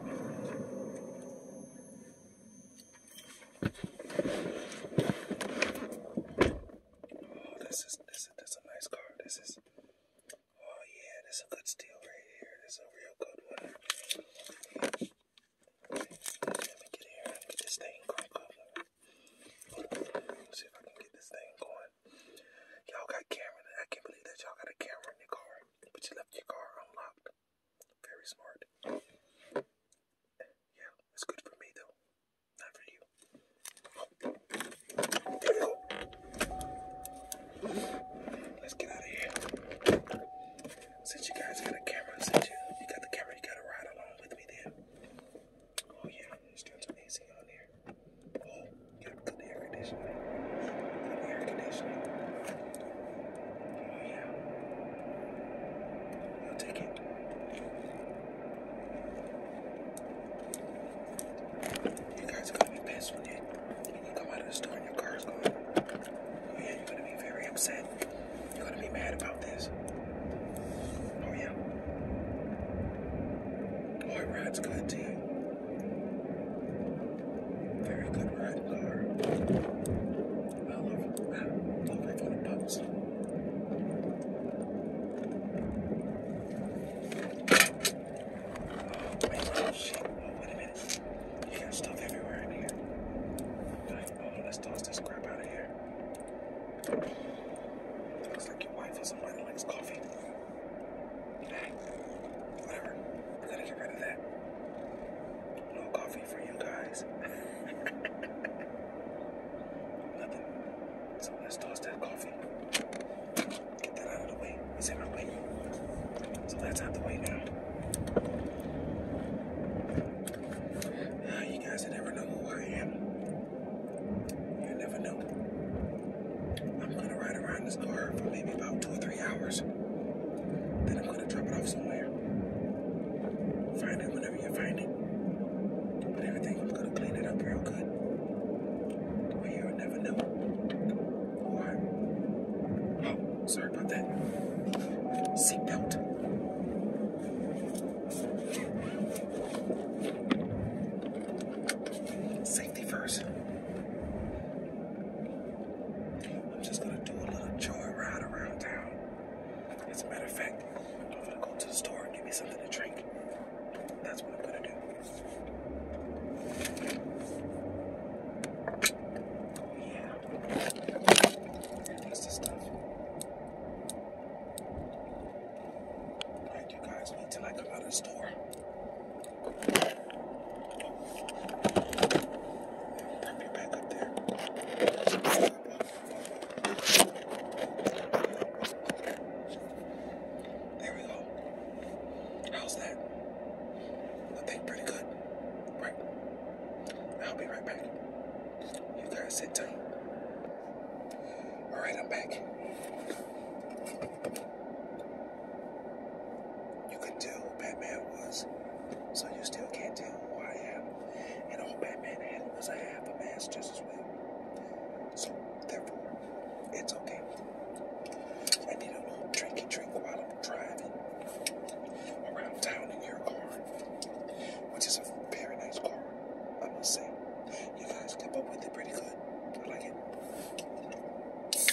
Oh, this is this is this a nice car. This is oh yeah, this a good steal right here. This is a real good one. Let me get here get this thing going. see if I can get this thing going. Y'all got camera. I can't believe that y'all got a camera in your car, but you left your car unlocked. Very smart. Yeah, it's good for me though. Not for you. Let's get out of here. Since you guys got a camera, since you, got the camera, gotta ride along with me then. Oh yeah, there's doing some AC on here. Oh, gotta put air conditioning. air conditioning. Oh, yeah. I'll take it. You guys are gonna be pissed when you, come out of the store and your car's gone. Oh, yeah, you're gonna be very upset. You're gonna be mad about this. Oh, yeah. Oh, it rides good, too. Very good ride, Laura. I love, it on the bubbles. Oh, man, oh, shit. wait a minute. You got stuff everywhere in here. Like, oh, let's toss this crap out of here. Looks like your wife or somebody likes coffee. Whatever. i to get rid of that. No coffee for you guys. Nothing. So let's toss that coffee. Get that out of the way. It's in our way. So that's out the way now. you guys never know who I am. You never know. I'm gonna ride around this car for maybe about two or three hours. Then I'm gonna drop it off somewhere. Find it whenever you find it. But everything, I'm gonna clean it up real good. The will never know. Or, oh, sorry about that. Seatbelt. Safety first. I'm just gonna do a little joy ride around town. As a matter of fact, I'm gonna go to the store and get me something to drink. That's what I'm gonna do. Yeah. That's the stuff. Alright, you guys wait till I come out of store. Put me back up there. There we go. How's that? I think pretty good. Right. I'll be right back. You guys sit tight. Alright, I'm back. You could tell who Batman was, so you still can't tell who I am. And all Batman had was a half a mask just as well. So, therefore, it's okay. I need a little drinky drink while I'm driving around town in your car, which is a very nice car, I must say. You guys kept up with it pretty good. I like it.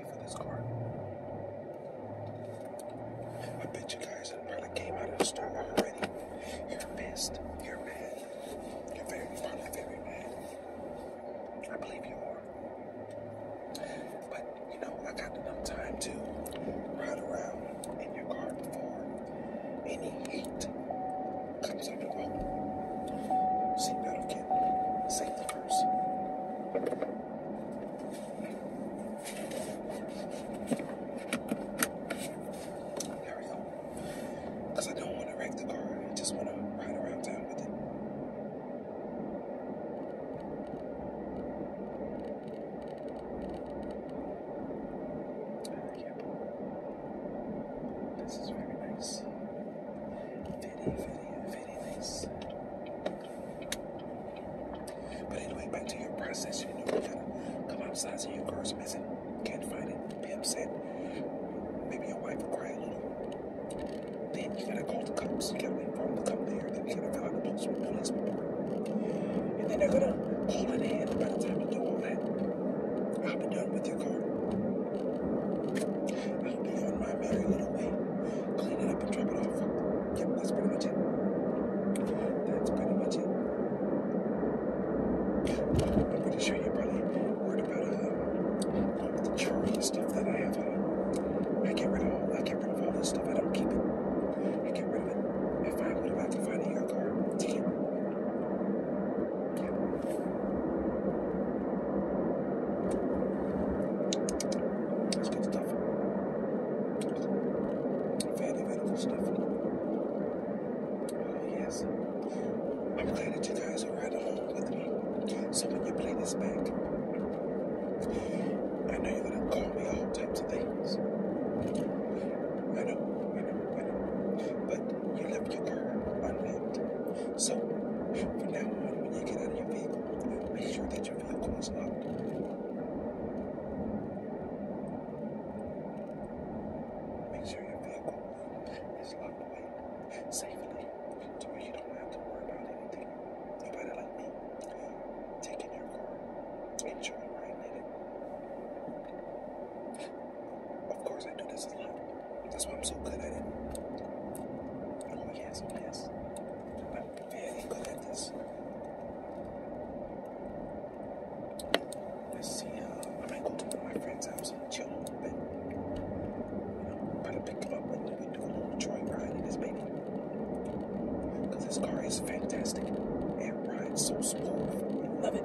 for this card. I bet you guys I probably came out of the store already. You're pissed. You're mad. You're very, very mad. I believe you are. But you know, I got enough time to ride around in your car before any heat comes up at all. Seatbelt again. Safety first. There we go. Because I don't want to wreck the car. I just want to ride around town with it. Yep. This is very nice. Fitty, fitty, very nice. But back to your process. come outside so your girl's missing. Can't find it. Be upset. Maybe your wife will cry a little. Then you gotta call the cops. You gotta inform the cop there. Then you gotta fill the police report. And then they're gonna call it in. By the time you do all that, I'll be done with your car. I'll be on my merry little way clean it up and drop it off. Yep, that's pretty much it. That's pretty much it. I'm pretty sure you are probably worried about um, all the churro stuff that I have home. Uh, I get rid of all I get rid of all this stuff. I don't keep it. I get rid of it. I find what I'm about to find in your car to keep. Let's get valuable stuff. Oh, yes. I'm glad that you guys are right along with me. So when you play this back, I know you're gonna call me all types of things. I know, I know, I know. But you left your car unnamed. So from now on, when you get out your vehicle, make sure that you Make sure your vehicle is locked away safely to you don't have to worry about anything. Nobody like me taking your car and trying to ride in it. Of course, I do this a lot. That's why I'm so good at it. Oh, yes, yes. I I'm very good at this. Let's see uh, I might go to my friend's house and chill a little bit. You know, put pick him up when we do a little joyride in this baby. Because this car is fantastic. It rides so smooth. I Love it.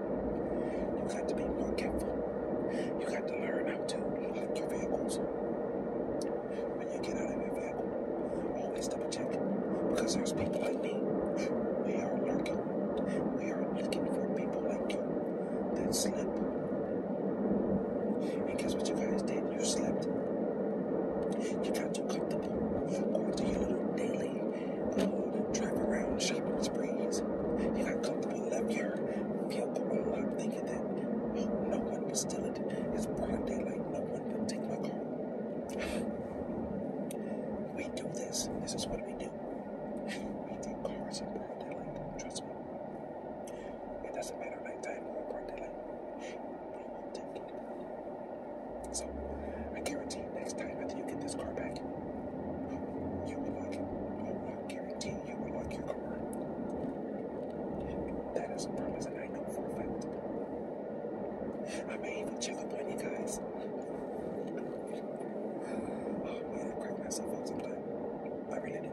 You got to be more careful. You got to learn how to lock your vehicles. When you get out of your vehicle, always double check. Because there's people like me. We are lurking. We are looking for people like you that slip. And guess what you guys did? You slept. You got too comfortable going to your little daily Drive around, shop in sprees. He got comfortable and left here. I'm thinking that no one would steal it. It's broad daylight, no one would take my car. we do this. This is what we do. we take cars in broad daylight, trust me. It doesn't matter nighttime or broad daylight. We will take it. So, I guarantee next time after you get this car back, you will like it. Oh, I guarantee you will like your car. That is a promise, and I know for a fact. I may even check up on you guys. Oh, man, I crack myself up sometimes. I really do.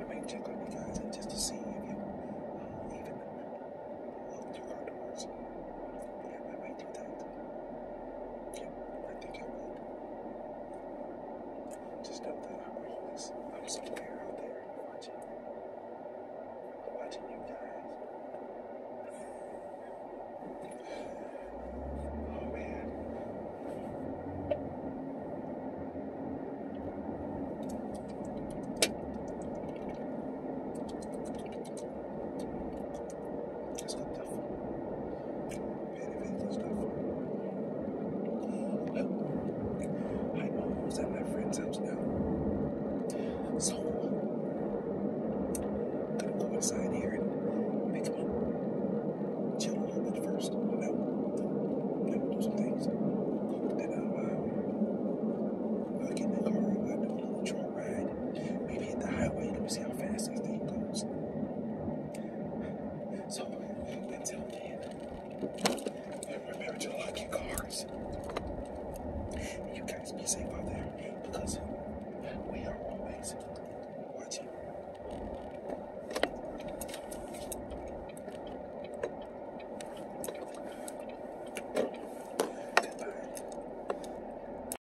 I may check on you guys just to see if you uh, even look your car towards. Yeah, I might do that. I think I would. Just know that I'm always, I'm somewhere out there watching, watching you guys. Oh man. It's not that Very, very, it's not fun. I'm almost at my friend's house now. So, i to go inside here and pick him Chill a little bit first. You know, you know do some things. Then I'm, um, uh, in the car, I'll do a little trail ride ahead. hit the highway. Let me see how fast this thing goes. So, until then, remember to lock your cars. You guys be safe out there because we are always watching. Goodbye.